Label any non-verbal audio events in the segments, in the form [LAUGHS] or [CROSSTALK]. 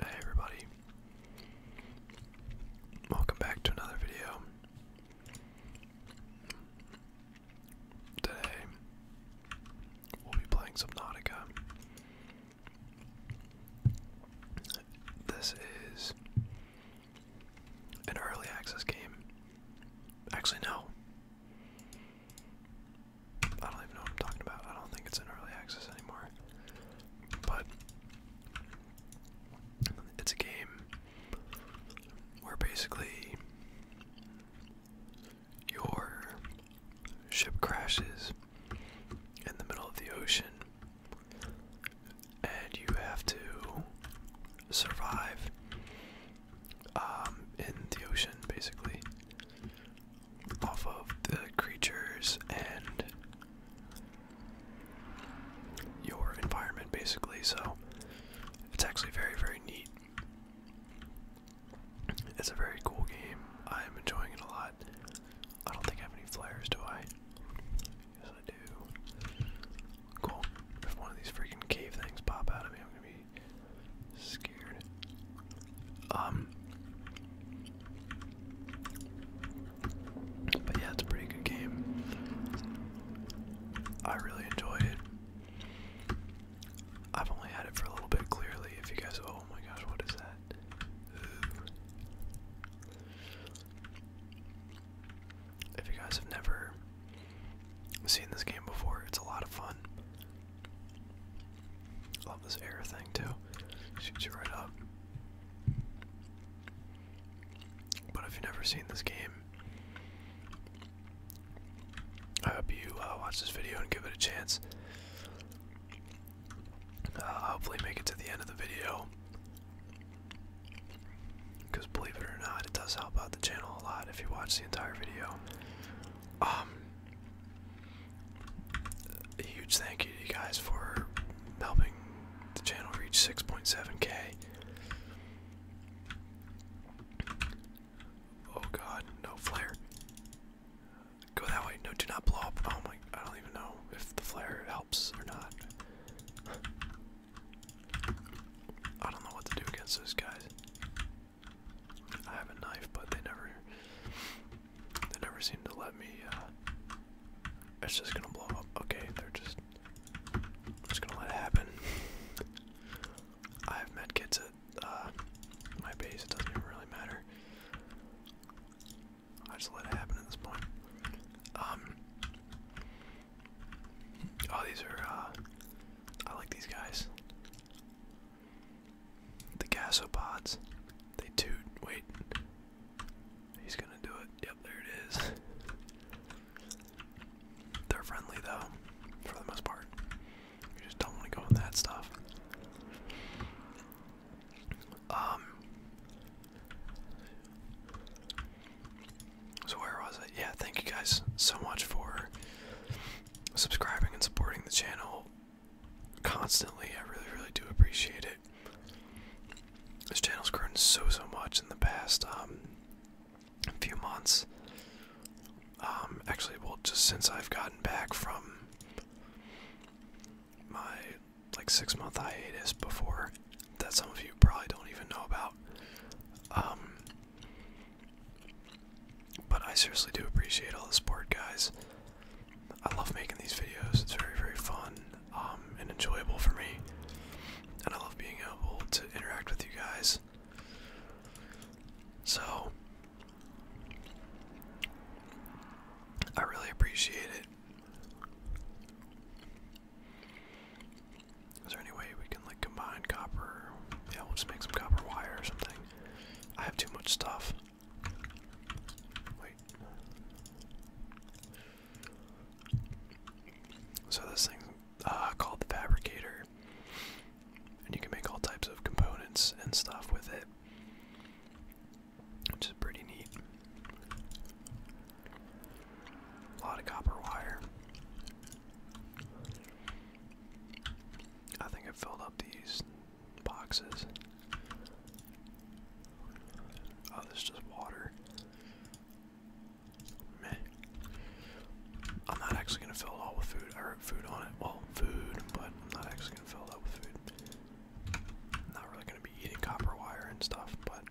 Hey everybody. Welcome back to another video. Today we'll be playing Subnautica. This is an early access game. Actually no. I don't even know what I'm talking about. I don't think it's in early access anymore. But it's a game where basically your ship crashes in the middle of the ocean and you have to survive um, in the ocean basically off of the creatures and your environment basically so it's actually very very neat it's a very cool game i'm enjoying it a lot i don't think i have any flares do i yes i do cool if one of these freaking cave things pop out of me i'm gonna be Scared. Um. But yeah, it's a pretty good game. I really enjoy it. I've only had it for a little bit. Clearly, if you guys, oh my gosh, what is that? If you guys have never seen this game before, it's a lot of fun. Love this air thing too. Shoots you right up. But if you've never seen this game, I hope you uh, watch this video and give it a chance. Uh, hopefully, make it to the end of the video. Because believe it or not, it does help out the channel a lot if you watch the entire video. Um, a huge thank you to you guys for helping the channel reach 6.7k. Oh god, no flare. Go that way. No, do not blow up. Oh my, I don't even know if the flare helps or not. I don't know what to do against those guys. I have a knife, but they never they never seem to let me uh, it's just gonna blow up. Okay, they're just just gonna let it happen. I have met kids at uh, my base, it doesn't even really matter. I just let it happen at this point. Um Oh these are uh, I like these guys. The gasopods. They toot. Wait. He's gonna do it. Yep, there it is. [LAUGHS] They're friendly though, for the most part. You just don't want to go in that stuff. Um. So where was I? Yeah, thank you guys so much for subscribing and supporting the channel constantly. I really, really do appreciate it. This channel's grown so, so much in the past um, few months. Um, actually, well, just since I've gotten back from my like six month hiatus before that some of you probably don't even know about. Um, but I seriously do appreciate all the support, guys. I love making these videos. It's very, very fun um, and enjoyable for me. And I love being able to interact with you guys. So, I really appreciate it. Is there any way we can like combine copper? Yeah, we'll make some copper wire or something. I have too much stuff. Wait. So this thing uh, called the fabricator, and you can make all types of components and stuff with it, which is pretty neat. A lot of copper wire. I think I filled up these boxes. Oh, this is just water. Meh. I'm not actually gonna fill it all with food. I wrote food on it. Well, food, but I'm not actually gonna fill it up with food. I'm not really gonna be eating copper wire and stuff, but.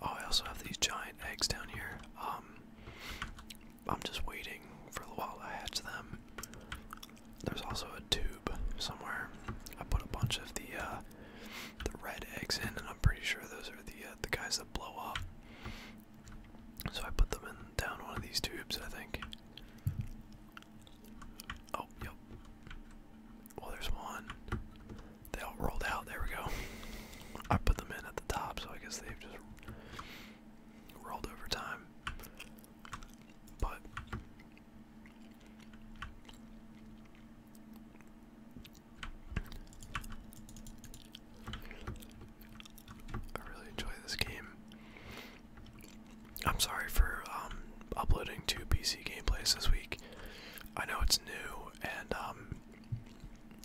Oh, I also have these giant eggs down here. Um, I'm just waiting for the wall to hatch them. There's also a tube somewhere. I put a bunch of the uh, the red eggs in, and I'm pretty sure those are the uh, the guys that blow up. So I put them in down one of these tubes, I think. Oh, yep. Well, there's one. They all rolled out. There we go. I put them in at the top, so I guess they've just Rolled overtime. But I really enjoy this game. I'm sorry for um, uploading two PC gameplays this week. I know it's new, and um,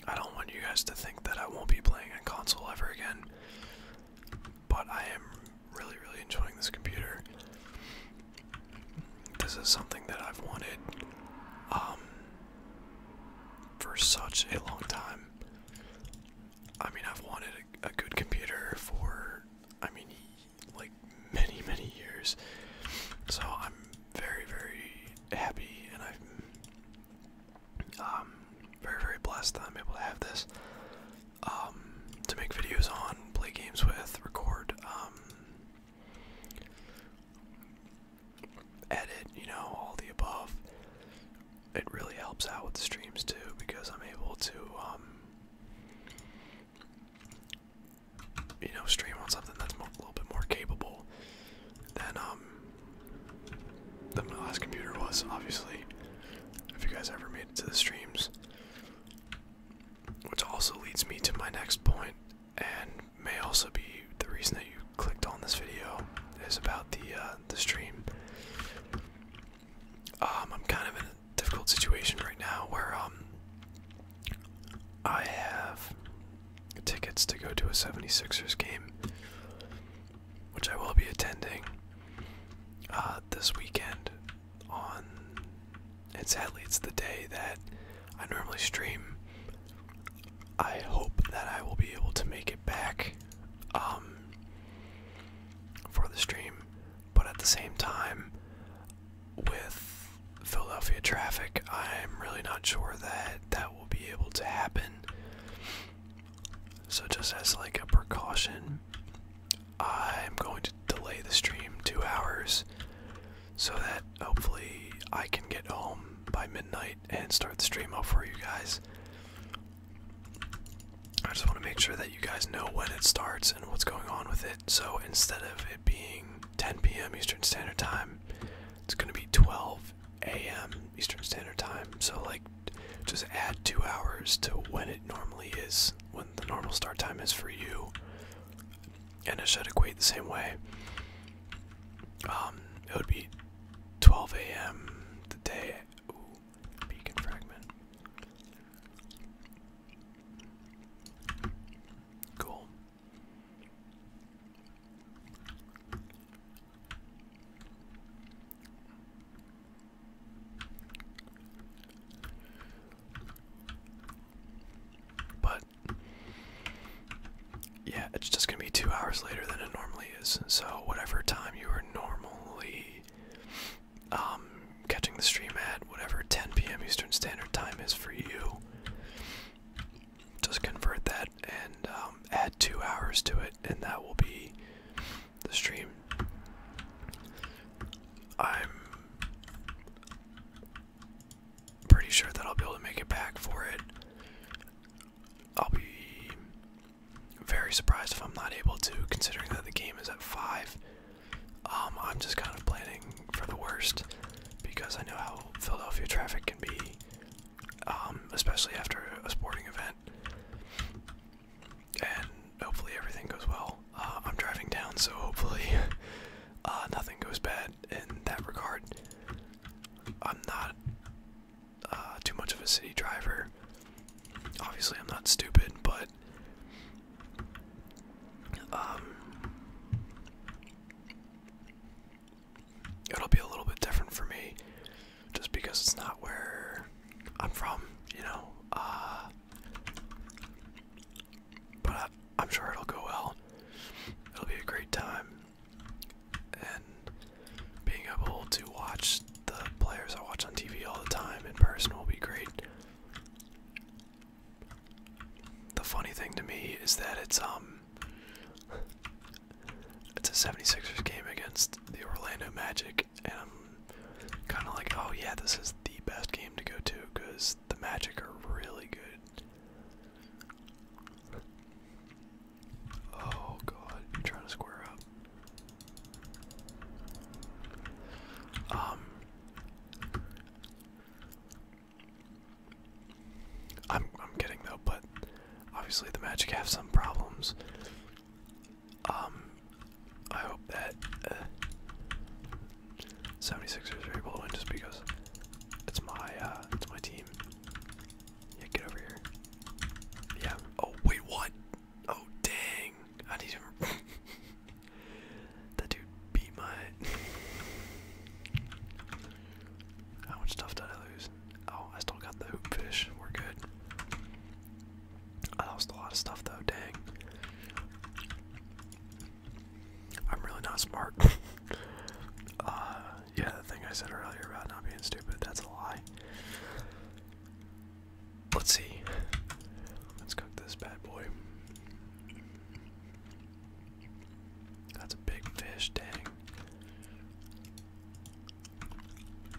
I don't want you guys to think that I won't be playing on console ever again but I am really, really enjoying this computer. This is something that I've wanted um, for such a long time. I mean, I've wanted a, a good computer for, I mean, like many, many years. So I'm very, very happy, and I'm um, very very blessed that I'm able to have this um, to make videos on, play games with, record, um, edit. You know, all the above. It really helps out with the streams too because I'm able to, um, you know, stream on something that's a little bit more capable than um that my last computer was, obviously. If you guys ever made it to the streams. Which also leads me to my next point, and may also be the reason that you clicked on this video is about the uh, the stream. Um, I'm kind of in a difficult situation right now where um I have tickets to go to a 76ers game which I will be attending uh, this weekend. On and sadly, it's the day that I normally stream. I hope that I will be able to make it back um, for the stream, but at the same time, with Philadelphia traffic, I'm really not sure that that will be able to happen. So, just as like a precaution, I'm going to delay the stream two hours so that hopefully I can get home by midnight and start the stream up for you guys. I just want to make sure that you guys know when it starts and what's going on with it. So, instead of it being 10 p.m. Eastern Standard Time, it's going to be 12 a.m. Eastern Standard Time. So like, just add two hours to when it normally is, when the normal start time is for you, and it should equate the same way. Um, it would be 12 a.m. the day. beacon fragment. Cool. But yeah, it's just gonna be two hours later than it normally is. So whatever time you are normally um, catching the stream at, whatever 10 p.m. Eastern Standard Time is for you, just convert that and um, add two hours to it, and that will be the stream. I'm pretty sure that I'll be able to make it back for it. I'll be very surprised if I'm not able to, considering that the game is at 5. Um, I'm just kind of planning for the worst because I know how Philadelphia traffic can be um, especially after a sporting event. And hopefully everything goes well. Uh, I'm driving down, so hopefully [LAUGHS] uh, nothing goes bad in that regard. I'm not uh, too much of a city driver. Obviously, I'm not stupid, but um, it'll be a little bit different for me just because it's not where I'm from, you know. Uh, but I'm sure it'll go well. It'll be a great time. And being able to watch the players I watch on TV all the time in person will be great. The funny thing to me is that it's um it's a 76ers game against the Orlando Magic, and I'm kind of like, oh yeah, this is the best game to go to because the Magic are really good. Oh god, trying to square up. Um, I'm I'm getting though, but Obviously, the Magic have some problems. Um, I hope that 76ers uh, are able to win just because it's my uh, it's my team. Yeah, get over here. Yeah. Oh wait, what? Oh dang! I need to. [LAUGHS] that dude beat my. [LAUGHS] How much stuff did I lose? Oh, I still got the hoop fish. We're good. I lost a lot of stuff though, dang. I'm really not smart. [LAUGHS] uh, yeah, the thing I said earlier about not being stupid, that's a lie. Let's see. Let's cook this bad boy. That's a big fish, dang.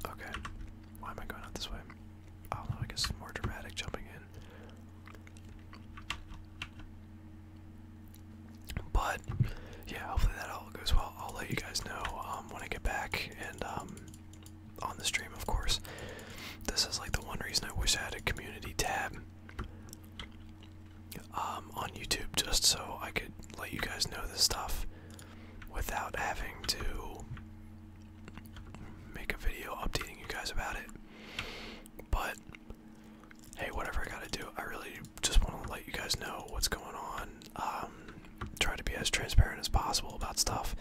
Okay. Why am I going out this way? Oh no, I guess more dramatic jumping in. But yeah, hopefully that all goes well. I'll let you guys know um, when I get back and um, on the stream, of course. This is like the one reason I wish I had a community tab um, on YouTube, just so I could let you guys know this stuff without having to make a video updating you guys about it. But hey, whatever I gotta do, I really just want to let you guys know what's going on. Um, try to be as transparent as possible about stuff.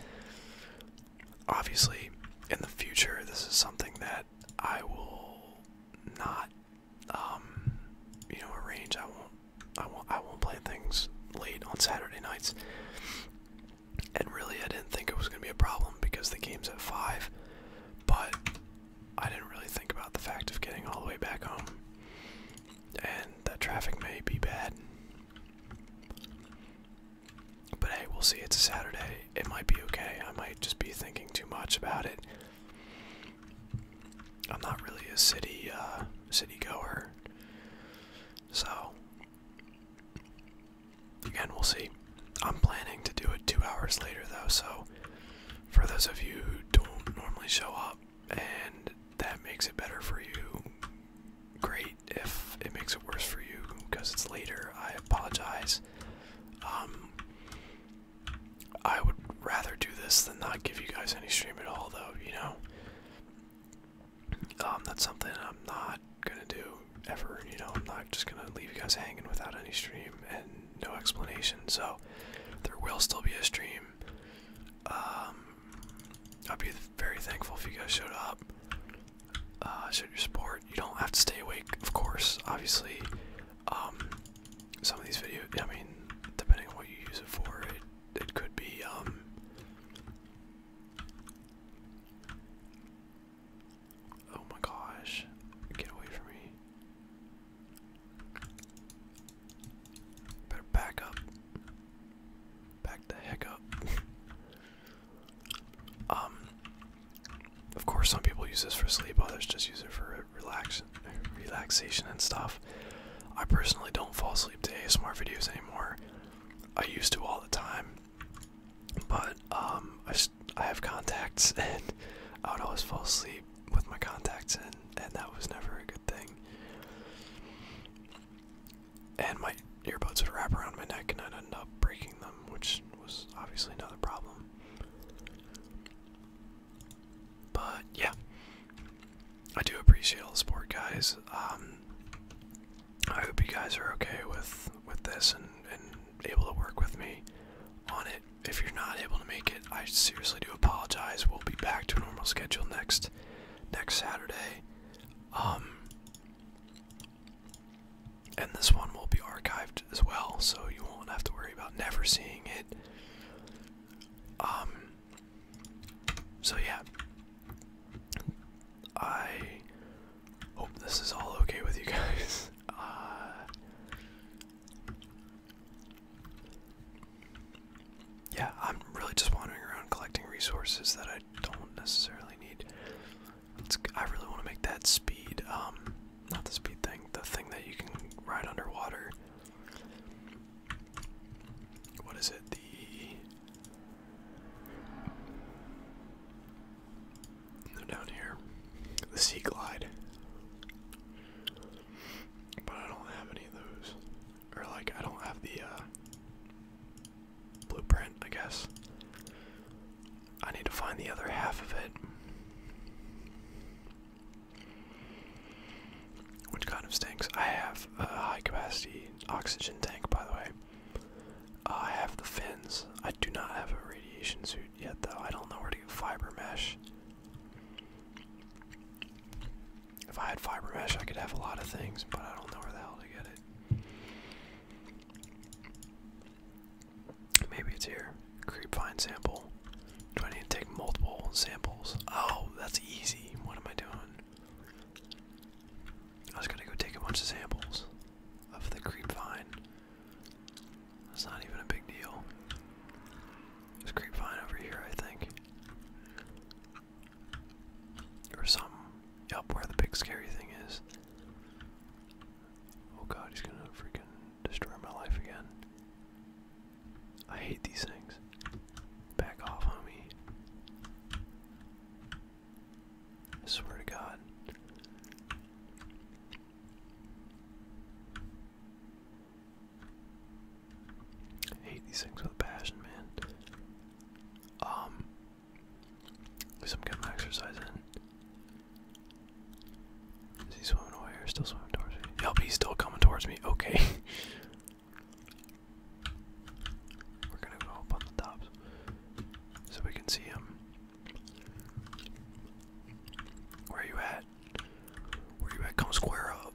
Obviously, in the future, this is something that I will not um, you know, arrange. I won't, I won't, I won't play things late on Saturday nights. And really, I didn't think it was gonna be a problem because the game's at five. But I didn't really think about the fact of getting all the way back home, and that traffic may be bad. But hey, we'll see. It's a Saturday. It might be okay. I might just be thinking too much about it. I'm not really a city uh, city goer, so again we'll see. I'm planning to do it two hours later though, so for those of you who don't normally show up and that makes it better for you, great. If it makes it worse for you because it's later, I apologize. Um, I would rather do this than not give you guys any stream at all, though, you know? Um, that's something I'm not gonna do ever, you know? I'm not just gonna leave you guys hanging without any stream and no explanation, so there will still be a stream. Um, I'd be very thankful if you guys showed up, uh, showed your support. You don't have to stay awake, of course, obviously. Um, some of these videos, I mean, depending on what you use it for, it, it could be, um, oh my gosh, get away from me. Better back up. Back the heck up. [LAUGHS] um, of course, some people use this for sleep, others just use it for relax relaxation and stuff. I personally don't fall asleep to ASMR videos anymore. I used to all the time, but um, I, I have contacts [LAUGHS] and I would always fall asleep with my contacts in, and that was never a good thing. And my earbuds would wrap around my neck, and I'd end up breaking them, which was obviously another problem. But yeah, I do appreciate all the support, guys. Um, I hope you guys are okay with with this and able to work with me on it. If you're not able to make it, I seriously do apologize. We'll be back to a normal schedule next next Saturday. Um, and this one will be archived as well, so you won't have to worry about never seeing it. Um. So yeah, I hope this is all okay with you guys. [LAUGHS] Uh, yeah, I'm really just wandering around collecting resources that I don't necessarily need. I really want to make that speed, um, not the speed thing, the thing that you can ride underwater. What is it? The down here, the sea glide. But I don't have any of those, or like I don't have the uh, blueprint. I guess I need to find the other half of it. Which kind of stinks. I have a high capacity oxygen tank, by the way. Uh, I have the fins. I do not have a radiation suit yet, though. I don't know where to get fiber mesh. If I had fiber mesh, I could have a lot of things, but I don't know where the hell to get it. Maybe it's here. Creepvine sample. Do I need to take multiple samples? Oh, that's easy. What am I doing? I was gonna go take a bunch of samples of the creepvine. That's not even a big deal. There's creepvine over here, I think. Or some. Yup, where the big scary thing is. Oh god, he's gonna freaking destroy my life again. I hate these things. Back off, homie. I swear to God. I hate these things with passion, man. Um, some kind of exercise in. Is he swimming away or still swimming towards me? Yep, he's still coming towards me. Okay. [LAUGHS] We're gonna go up on the tops so we can see him. Where are you at? Where you at? Come square up.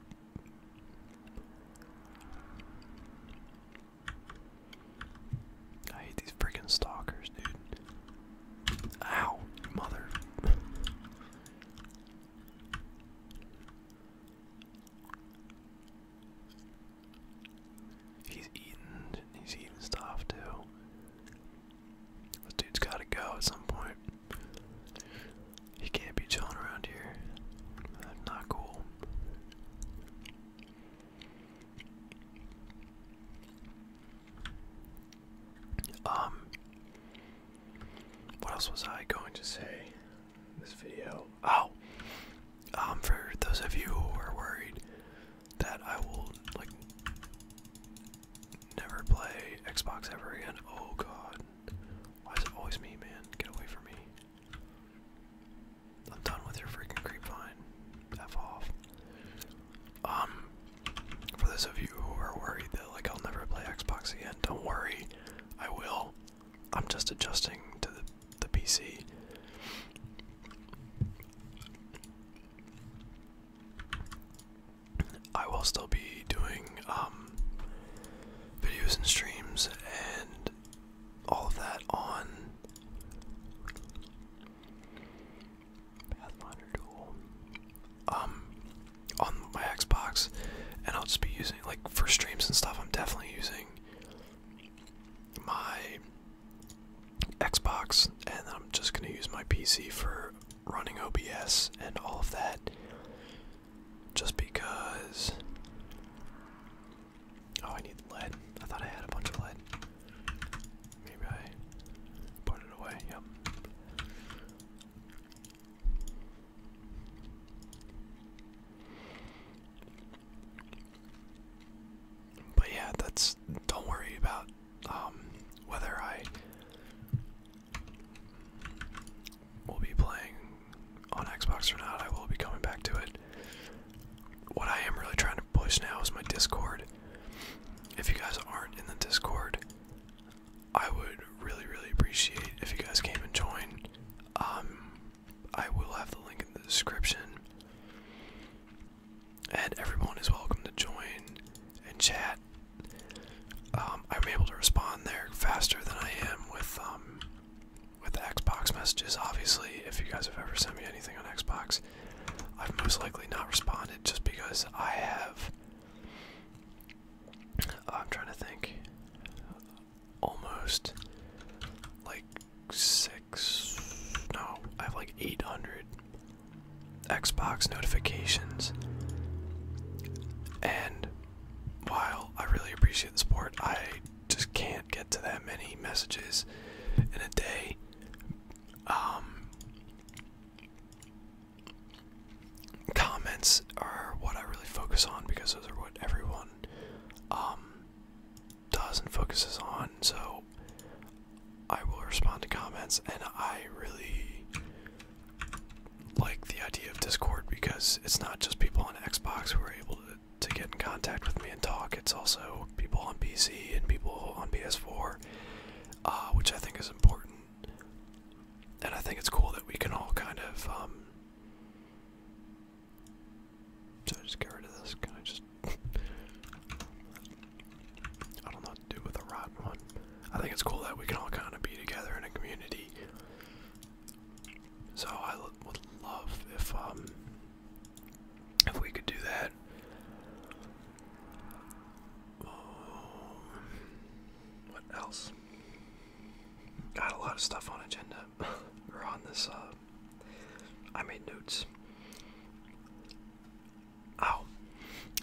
I hate these freaking stalkers, dude. Ow, mother. He's eating. He's eating stuff too. This dude's gotta go at some point. He can't be chilling around here. That's not cool. Um, what else was I going to say in this video? Oh, um, for those of you who are worried that I will like never play Xbox ever again. Oh God, why is it always me, man? Get away from me. I'm done with your freaking creep vine. F off. Um, for those of you who are worried that like I'll never play Xbox again, don't worry, I will. I'm just adjusting to the, the PC. I will still be doing um, videos and streams and all of that on um, on my Xbox, and I'll just be using like for streams and stuff. I'm definitely using my Xbox, and I'm just gonna use my PC for running OBS and all of that. Just because. Oh, I need lead. I thought I had a bunch of lead. Maybe I put it away. Yep. But yeah, that's don't worry about um, whether I will be playing on Xbox or not. I will be coming back to it. What I am really trying to push now is my Discord. If you guys aren't in the Discord, I would really, really appreciate if you guys came and joined. Um, I will have the link in the description. And everyone is welcome to join and chat. Um, I'm able to respond there faster than I am with um, with Xbox messages. Obviously, if you guys have ever sent me anything on Xbox, I've most likely not responded just because I have Oh, I'm trying to think. Almost like six. No, I have like 800 Xbox notifications. And while I really appreciate the support, I just can't get to that many messages in a day. Um, comments are what I really focus on because those are what everyone um, does and focuses on. So I will respond to comments, and I really like the idea of Discord because it's not just people on Xbox who are able to, get in contact with me and talk, it's also people on PC and people on PS4, uh, which I think is important and I think it's cool that we can all kind of. Um, I just get rid of this? Can I just? I don't know what to do with a rotten one. I think it's cool that we can all kind of be together in a community. So I would love if um if we could do that what else? Got a lot of stuff on agenda [LAUGHS] on this. Uh, I made notes. Oh,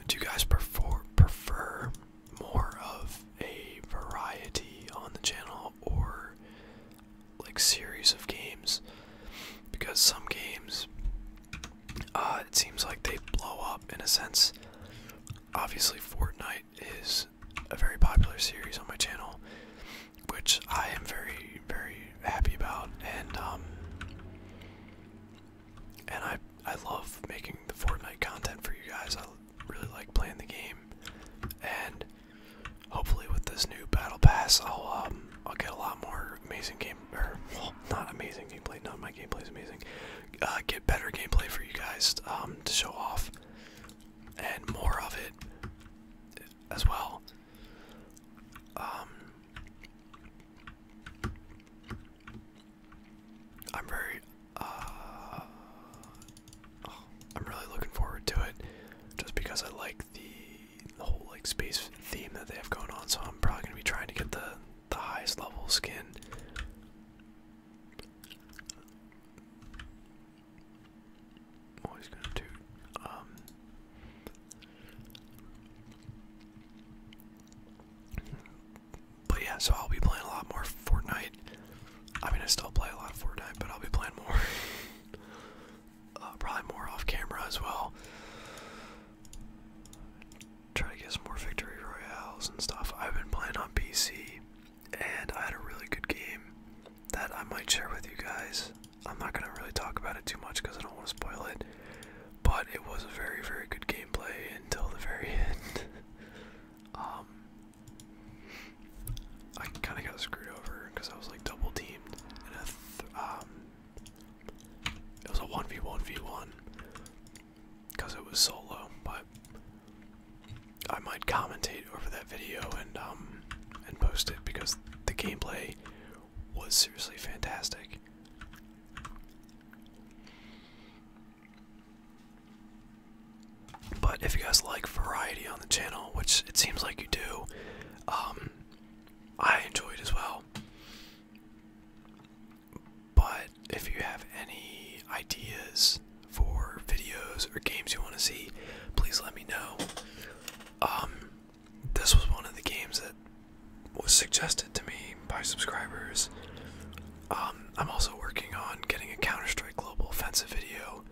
do you guys prefer prefer more of a variety on the channel or like series of games? Because some games uh, it seems like they blow up in a sense. Obviously, Fortnite is a very popular series on my channel, which I am very, very happy about, and um, and I I love making the Fortnite content for you guys. I really like playing the game, and hopefully with this new battle pass, I'll um, I'll get a lot more amazing games or well, not amazing gameplay. Not my gameplay is amazing. Uh, get better gameplay for you guys um, to show off, and more of it as well. Um, I'm very, uh, oh, I'm really looking forward to it, just because I like the whole like space theme that they have going on. So I'm probably gonna be trying to get the the highest level skin. I'm always gonna do um, But yeah, so I'll be playing a lot more Fortnite. I mean I still play a lot of Fortnite, but I'll be playing more. [LAUGHS] Uh, probably more off camera as well. Try to get some more victory royales and stuff. I've been playing on PC, and I had a really good game that I might share with you guys. I'm not gonna really talk about it too much because I don't want to spoil it. But it was a very, very good gameplay until the very [LAUGHS] end. um, I kind of got screwed over because I was like double teamed, and a it was a 1v1v1 because it was solo, but I might commentate over that video and um and post it because the gameplay was seriously fantastic. But if you guys like variety on the channel, which it seems like you do, um, I enjoy it as well. But if you have any ideas for videos or games you want to see, please let me know. Um, this was one of the games that was suggested to me by subscribers. Um, I'm also working on getting a Counter Strike Global Offensive video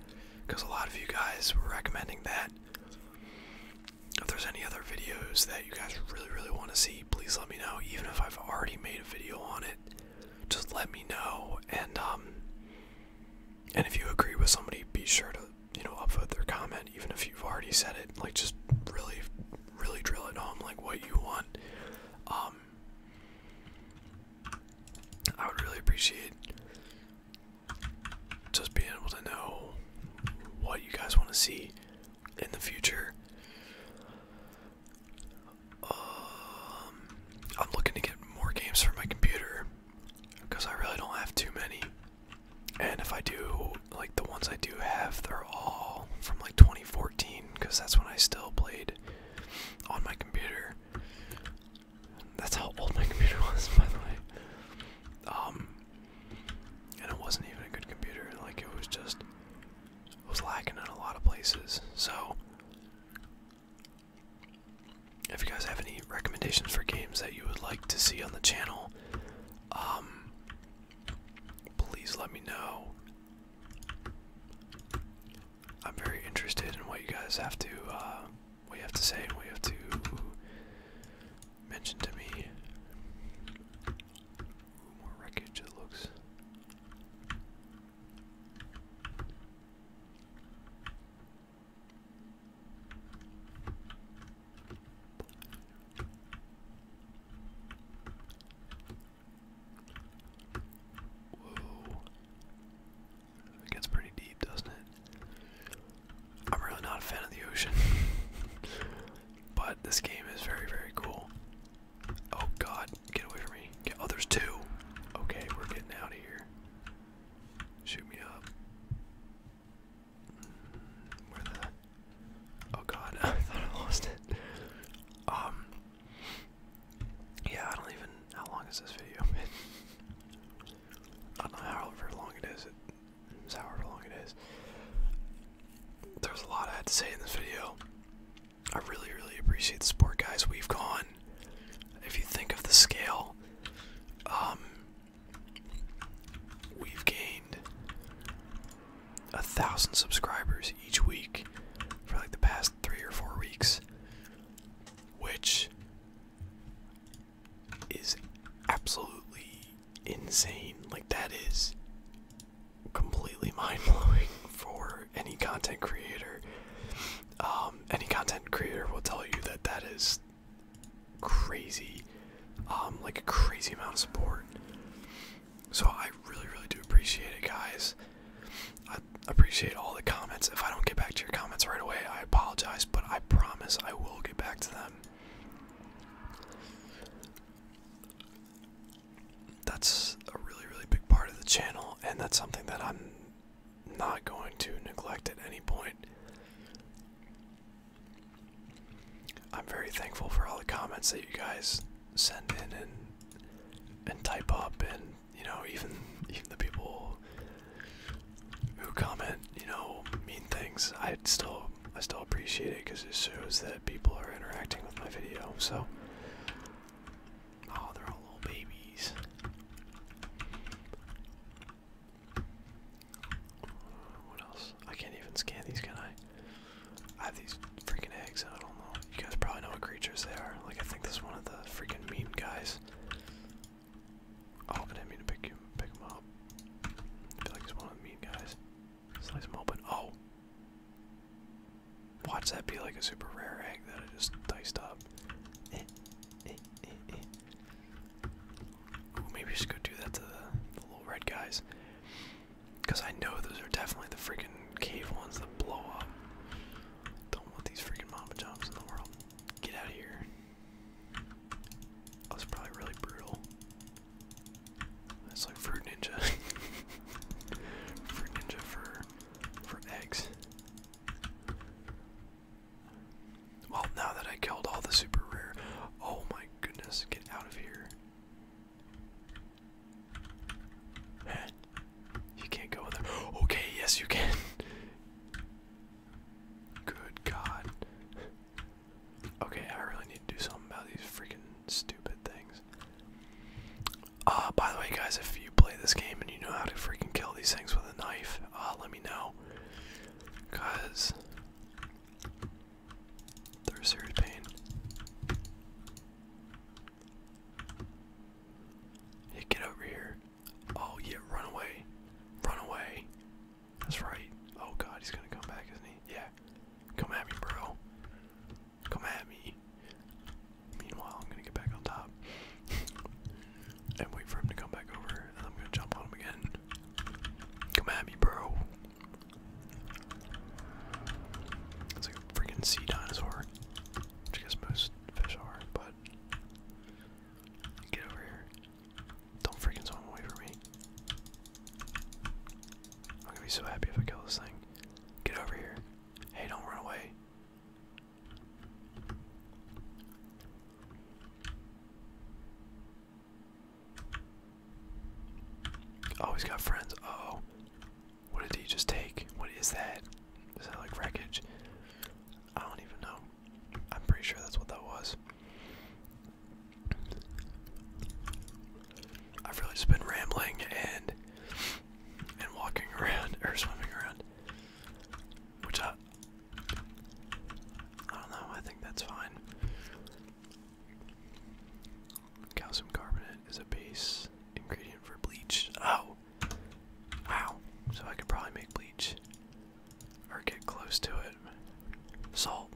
because a lot of you guys were recommending that if there's any other videos that you guys really, really want to see, please let me know. Even if I've already made a video on it, just let me know. And um, and if you agree with somebody, be sure to you know upvote their comment, even if you've already said it. Like just really, really drill it home, like what you want. Um, I would really appreciate just being able to know what you guys want to see in the future. Um, I'm looking to get more games for my computer because I really don't have too many. And if I do, like the ones I do have, they're all from like 2014 because that's when I still played on my computer. That's how old my [LAUGHS] computer was, by the way. Um, and it wasn't even a good computer. Like it was just it was lacking in a lot of places. So, if you guys have any recommendations for games that you would like to see on the channel, um, please let me know. I'm very interested in what you guys have to, uh, have to say and what you have to mention to me. More wreckage, it looks. Whoa. It gets pretty deep, doesn't it? I'm really not a fan of the ocean. [LAUGHS] But this game is very, very cool. Oh god, get away from me. Get, oh, there's two. Okay, we're getting out of here. Shoot me up. Mm, where the. Oh god, [LAUGHS] I thought I lost it. Um. Yeah, I don't even. How long is this video? [LAUGHS] I don't know how long however long it is. There's a lot I had to say in this video. I really, really appreciate the support, guys. We've gone, if you think of the scale, um, we've gained a thousand subscribers each week for like the past three or four weeks, which is absolutely insane. Like, that is completely [LAUGHS] mind blowing for any content creator. Um, any content creator will tell you that that is crazy, um, like a crazy amount of support. So I really, really do appreciate it, guys. I appreciate all the comments. If I don't get back to your comments right away, I apologize, but I promise I will get back to them. That's a really, really big part of the channel, and that's something that I'm not going to neglect at any point. I'm very thankful for all the comments that you guys send in and and type up and you know even even the people who comment you know, mean things, I still I still appreciate it because it shows that people are interacting with my video. So, oh, they're all little babies. What else? I can't even scan these, can I? I have these freaking eggs, and I don't know. You guys probably know what creatures they are. Like I think this is one of the freaking mean guys. Oh, but I mean to pick him, pick him up. feel like he's one of the mean guys. Slice them open. Oh! Watch that be like a super rare egg that I just diced up. Eh, eh, eh, maybe we should go do that to the, little red guys. Because I know those are definitely the freaking cave ones that blow up. Don't want these freaking mama jumps in the world. Get out of here. That's probably really brutal. That's like Fruit Ninja. [LAUGHS] Fruit Ninja for for eggs. Well, now that I killed all the super rare, oh my goodness, get out of here. [GASPS] You can't go there. [GASPS] Okay, yes you can. [LAUGHS] Good God. Okay, I really need to do something about these freaking stupid things. Uh, by the way, guys, if you play this game and you know how to freaking kill these things with a knife, uh, let me know. Because they're a serious pain. Hey, get over here. Oh, yeah, run away. Run away. That's right. Oh god, he's gonna come back, isn't he? Yeah. Come at me, bro. Come at me. Meanwhile, I'm gonna get back on top [LAUGHS] and wait for him to come back over, and I'm gonna jump on him again. Come at me, bro. It's a freaking sea dinosaur, which I guess most fish are, but get over here. Don't freaking swim away from me. I'm gonna be so happy if I kill this thing. Get over here. Hey, don't run away. Always oh, got friends. oh. What did he just take? What is that? Is that like wreckage? I don't even know. I'm pretty sure that's what that was. I've really just been rambling and and walking around [LAUGHS] or swimming around, What's up? I don't know. I think that's fine. Calcium carbonate is a base ingredient for bleach. Oh, wow! So I could probably make bleach. Or get close to it. Salt.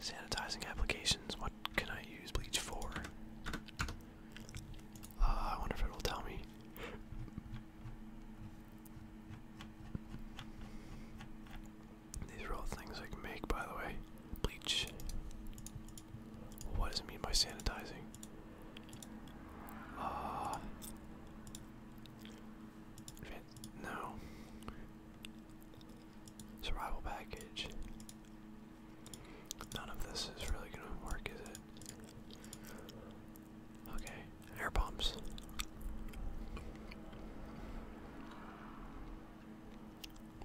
Sanitizing applications. What can I use bleach for? Uh, I wonder if it will tell me. These are all things I can make, by the way. Bleach. What does it mean by sanitizing? Uh, no. Survival package. None of this is really going to work, is it? Okay, air bombs.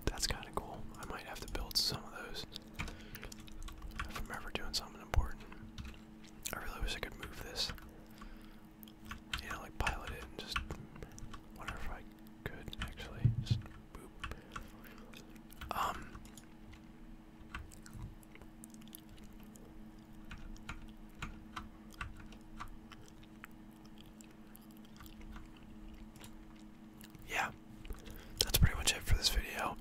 That's kind of cool. I might have to build some of those if I'm ever doing something important. I really wish I could move this you know, like pilot it and just whatever I could actually just Um. Yeah, that's pretty much it for this video.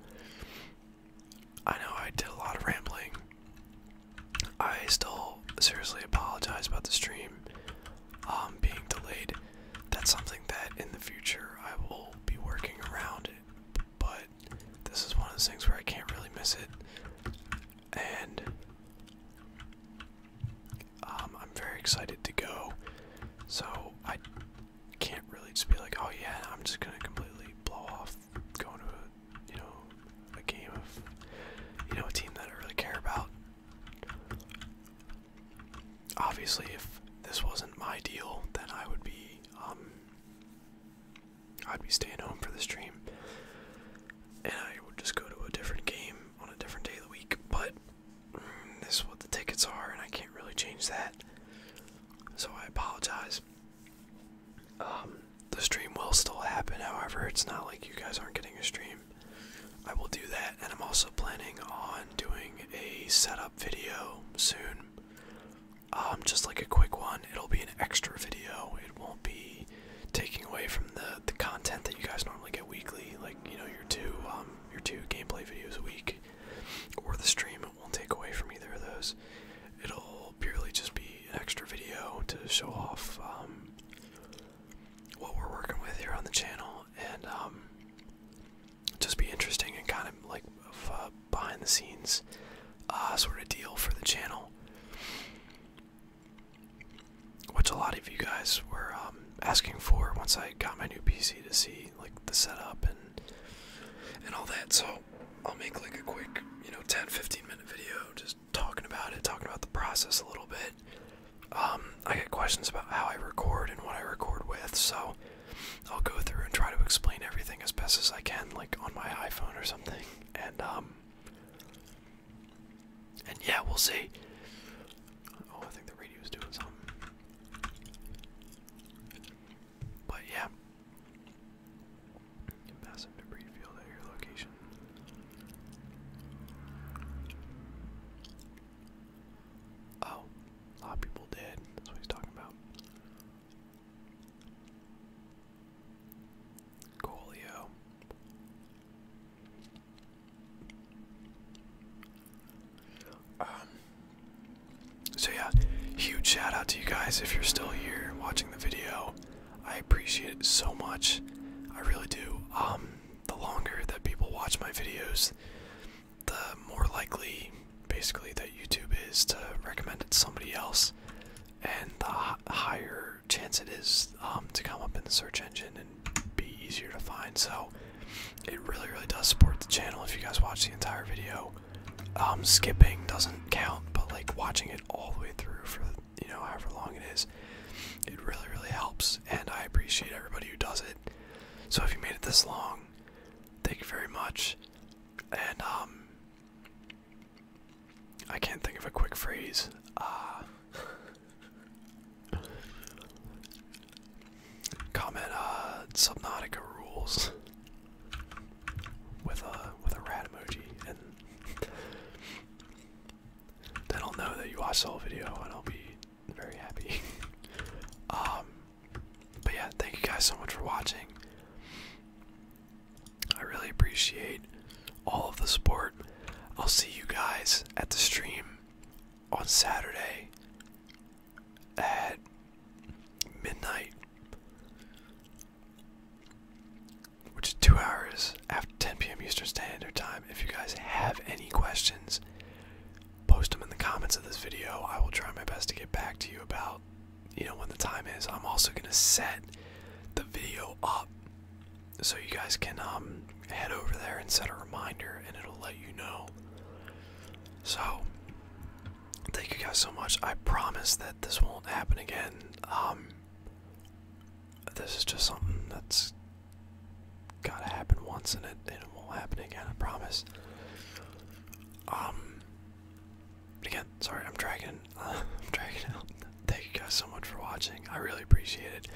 I know I did a lot of rambling. I still seriously apologize about the stream um, being delayed. That's something that in the future I will be working around but this is one of those things where I can't really miss it. And um, I'm very excited to go, so I can't really just be like, oh yeah, I'm just gonna completely blow off going to you know, a game of, you know, a team that I really care about. Obviously, if this wasn't my deal, then I would be, um, I'd be staying home for the stream, and I would just go to a different game on a different day of the week. But mm, this is what the tickets are, and I can't really change that. So I apologize. Um, the stream will still happen, however, it's not like you guys aren't getting a stream. I will do that, and I'm also planning on doing a setup video soon. Um, just like a quick one. It'll be an extra video. It won't be taking away from the the content that you guys normally get weekly, like you know your two um your two gameplay videos a week, or the stream. It won't take away from either of those. It'll purely just be an extra video to show off um, what we're working with here on the channel and um, just be interesting and kind of like uh, behind the scenes uh, sort of deal for the channel. Which a lot of you guys were um, asking for once I got my new PC to see like the setup and and all that. So I'll make like a quick, you know, 10 15 minute video just talking about it, talking about the process a little bit. Um, I get questions about how I record and what I record with, so I'll go through and try to explain everything as best as I can, like on my iPhone or something. And, um, and yeah, we'll see. Oh, I think the radio's doing something. But yeah, you debris field at your location. Oh, a lot of people dead. That's what he's talking about. Coolio. Um, so yeah, huge shout out to you guys if you're still here watching the video. I appreciate it so much. I really do. Um, the longer that people watch my videos, the more likely, basically, that YouTube is to recommend it to somebody else, and the higher chance it is um, to come up in the search engine and be easier to find. So, it really, really does support the channel if you guys watch the entire video. Um, skipping doesn't count, but like watching it all the way through for you know however long it is, it really really helps, and I appreciate everybody who does it. So if you made it this long, thank you very much. And um, I can't think of a quick phrase. Uh, [LAUGHS] comment uh, Subnautica rules with a with a rat emoji, and then I'll know that you watched the video, and I'll be very happy. [LAUGHS] um, but yeah, thank you guys so much for watching. I really appreciate all of the support. I'll see you guys at the stream on Saturday at midnight which is two hours after 10 p.m. Eastern Standard Time. If you guys have any questions, post them in the comments of this video. I will try my best to get back to you about, you know, when the time is. I'm also going to set the video up so you guys can um, head over there and set a reminder and it'll let you know. So, Thank you guys so much. I promise that this won't happen again. Um, this is just something that's gotta happen once, and it won't happen again. I promise. Um, again, sorry, I'm dragging, [LAUGHS] I'm dragging Thank you guys so much for watching. I really appreciate it.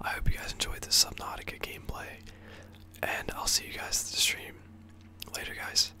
I hope you guys enjoyed this Subnautica gameplay, and I'll see you guys at the stream later, guys.